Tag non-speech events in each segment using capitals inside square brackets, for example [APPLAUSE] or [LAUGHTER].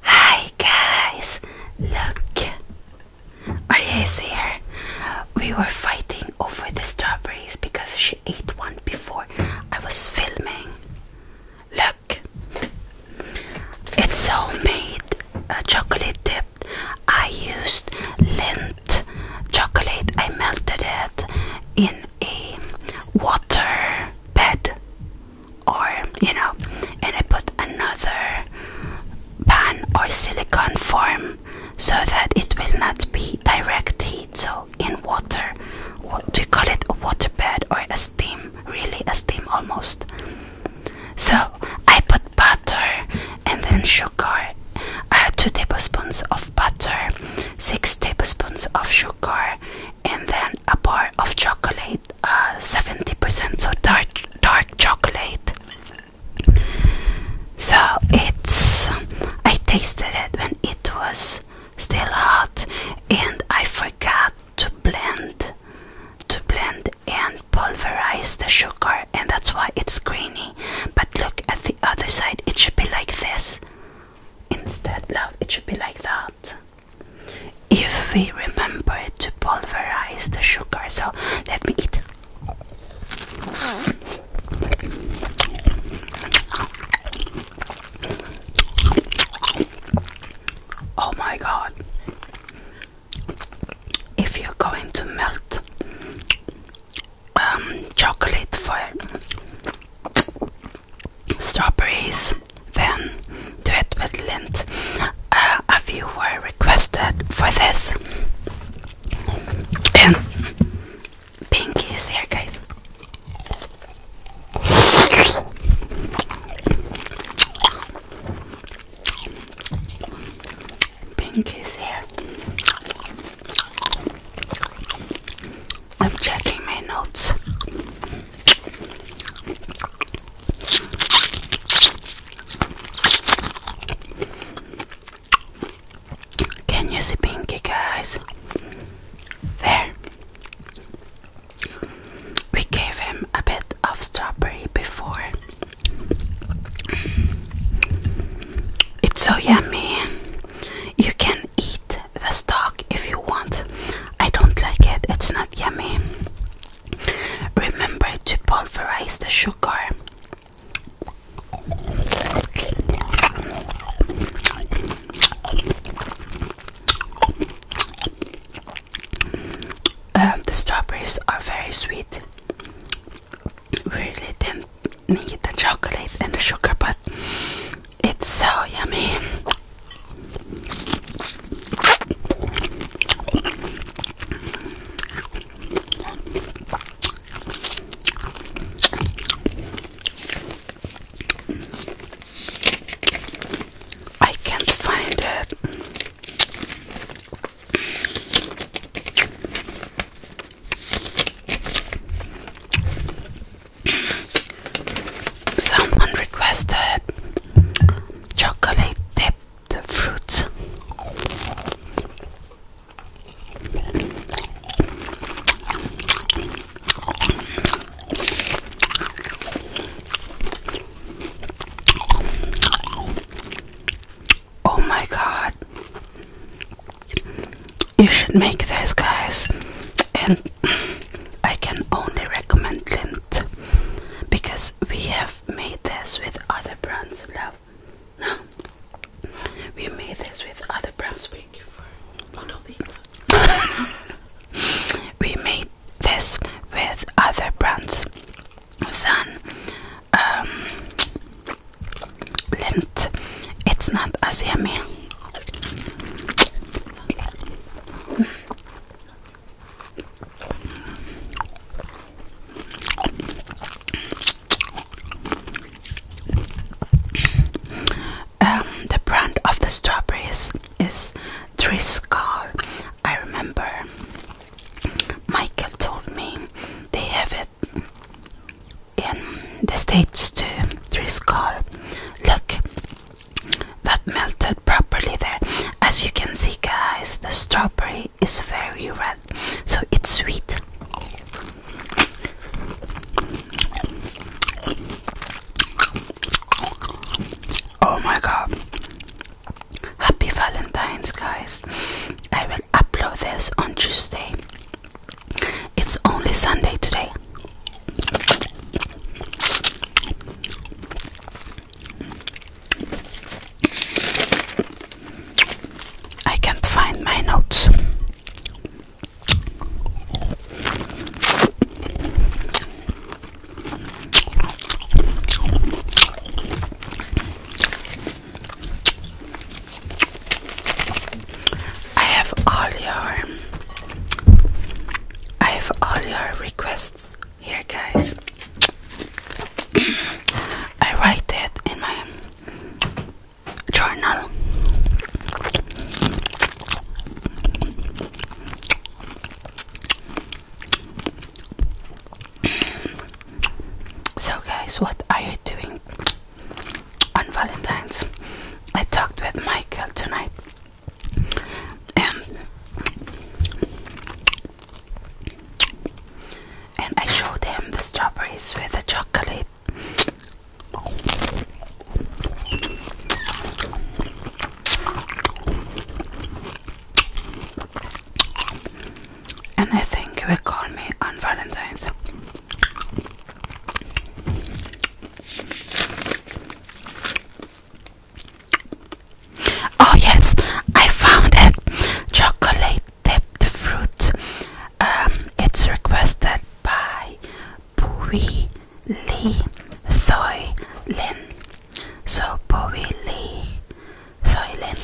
Hi guys, look, are you here? We were fighting over the strawberries because she ate one before I was filming. Look, it's homemade uh, chocolate dipped. I used lint chocolate. I melted it in a water bed or you know, and I put another pan or silicone form so that it will not be direct heat. So in water, what do you call it? A water bed or a steam? Really, a steam almost. So I put butter and then sugar. Uh, two tablespoons of butter, six tablespoons of sugar, and then a bar of chocolate, 70% uh, so dark, dark chocolate. So it's, I tasted it when it was still hot, and I forgot to blend, to blend and pulverize the sugar, and that's why it's grainy. But look at the other side; it should be like this instead. Love, it should be like that if we remember to pulverize the sugar. So let me eat. Oh my god. If you're going to melt um, chocolate for strawberries, then do it with lint. Uh, a few were requested for this. And Pinky is here, guys. Pinky is here. I'm checking my notes. Can you see Pinky, guys? There. We gave him a bit of strawberry before. It's so yummy. You can eat the stock if you want. I don't like it, it's not yummy. Remember to pulverize the sugar. Um, the strawberries are very sweet. Really didn't need the chocolate and the sugar, but it's so yummy. I can't find it. Someone requested chocolate dipped fruits. Oh my god. You should make this guys and I can only recommend Lint because we have made this with other brands. Love, no, we made this with other brands. Thank you for [LAUGHS] we made this with other brands than um, Lint. It's not as yummy. Um, the brand of the strawberries is Driscoll. I remember Michael told me they have it in the States too. Driscoll Look, that melted properly there. As you can see, guys, the strawberry is very red, so it's sweet. Oh my god. Happy Valentine's, guys. I will upload this on Tuesday. It's only Sunday today. I can't find my notes. I have all your I have all your requests here guys. I write it in my journal. So guys, what are you doing? on Valentine's. I talked with Michael tonight, and and I showed him the strawberries with the chocolate. And I think he will call me on Valentine's. Oh yes, I found it. Chocolate dipped fruit. Um, it's requested by Bowie Lee Thoy Lin. So Bowie Lee Thoy Lin.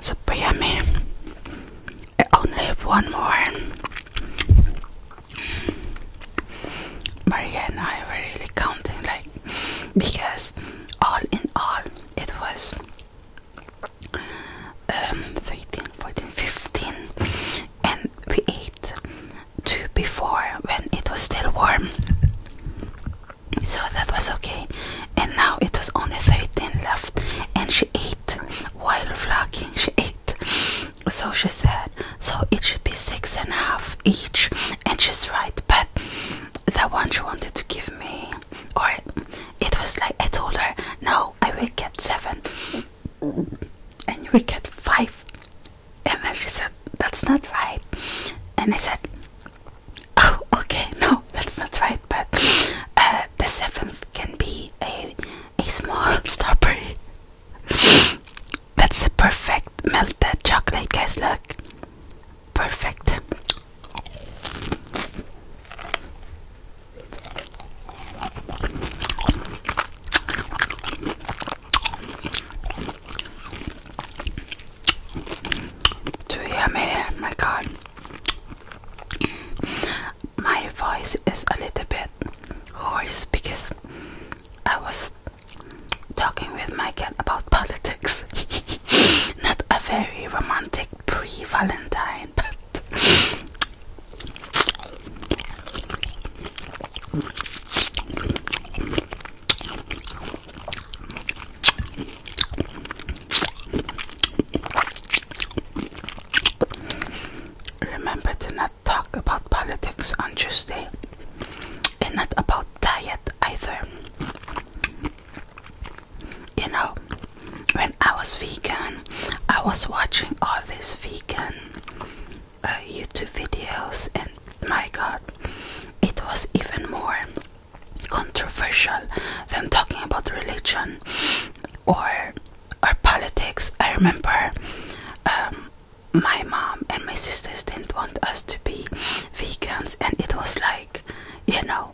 Super yummy. I only have one more. Maria and I were really counting, like, because all in all, it was um, 13, 14, 15 and we ate two before when it was still warm so that was okay and now it was only 13 left and she ate while vlogging she ate so she said so it should be six and a half each and she's right but the one she wanted to give me or it was like I told her, no, I will get seven, and we get five. And then she said, that's not right. And I said, oh, okay, no, that's not right. But uh, the seventh can be a a small [LAUGHS] strawberry. that's a perfect melted chocolate, guys. Look, Perfect. Do you My God, my voice is a little bit hoarse because I was talking with my about [LAUGHS] politics. Not a very romantic pre Valentine, but remember to not talk about politics on Tuesday and not about diet either. You know, when I was vegan, I was watching all these vegan uh, YouTube videos, and my god, it was even more controversial than talking about religion or or politics. I remember um, my mom and my sisters didn't want us to be vegans, and it was like you know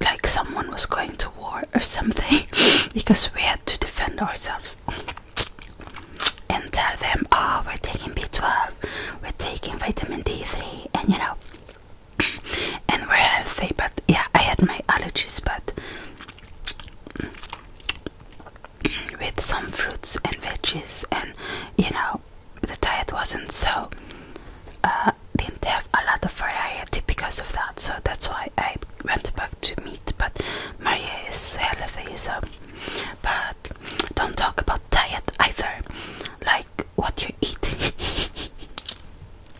like someone was going to war or something [LAUGHS] because we had to defend ourselves and tell them oh we're taking b12 we're taking vitamin d3 and you know [CLEARS THROAT] and we're healthy but yeah i had my allergies but with some fruits and veggies and you know know the diet wasn't so uh, didn't have a lot of variety because of that so that's why I went back to meat but Maria is healthy so but don't talk about diet either like what you eat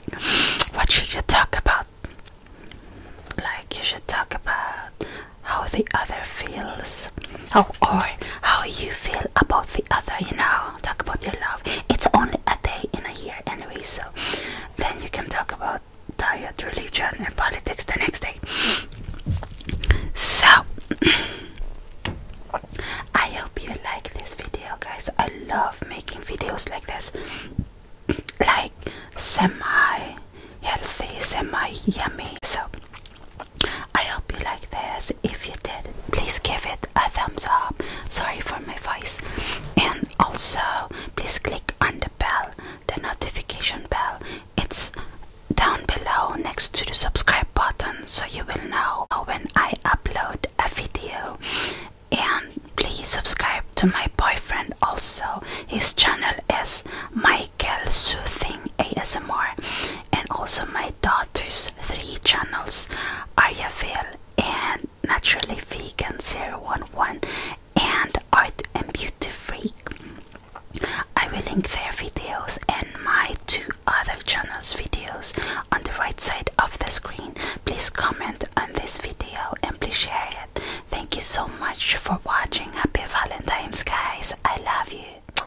[LAUGHS] what should you talk about like you should talk about how the other feels else. Oh, or how you feel about the other, you know. Talk about your love. It's only a day in a year anyway, so then you can talk about diet, religion, and politics the next day. So, [CLEARS THROAT] I hope you like this video, guys. I love making videos like this, [CLEARS THROAT] like semi healthy, semi yummy. So, I hope you like this. If you did, please give it a thumbs up. Sorry for my voice. And also, please click on the bell, the notification bell. It's down below next to the subscribe button so you will know when I upload a video. And please subscribe to my boyfriend also. His channel is Michael Soothing ASMR and also my daughter's three channels Ariaville and Naturally Vegan 011 and Art and Beauty Freak. I will link their videos and my two other channels videos on the right side of the screen. Please comment on this video and please share it. Thank you so much for watching. Happy Valentine's guys. I love you.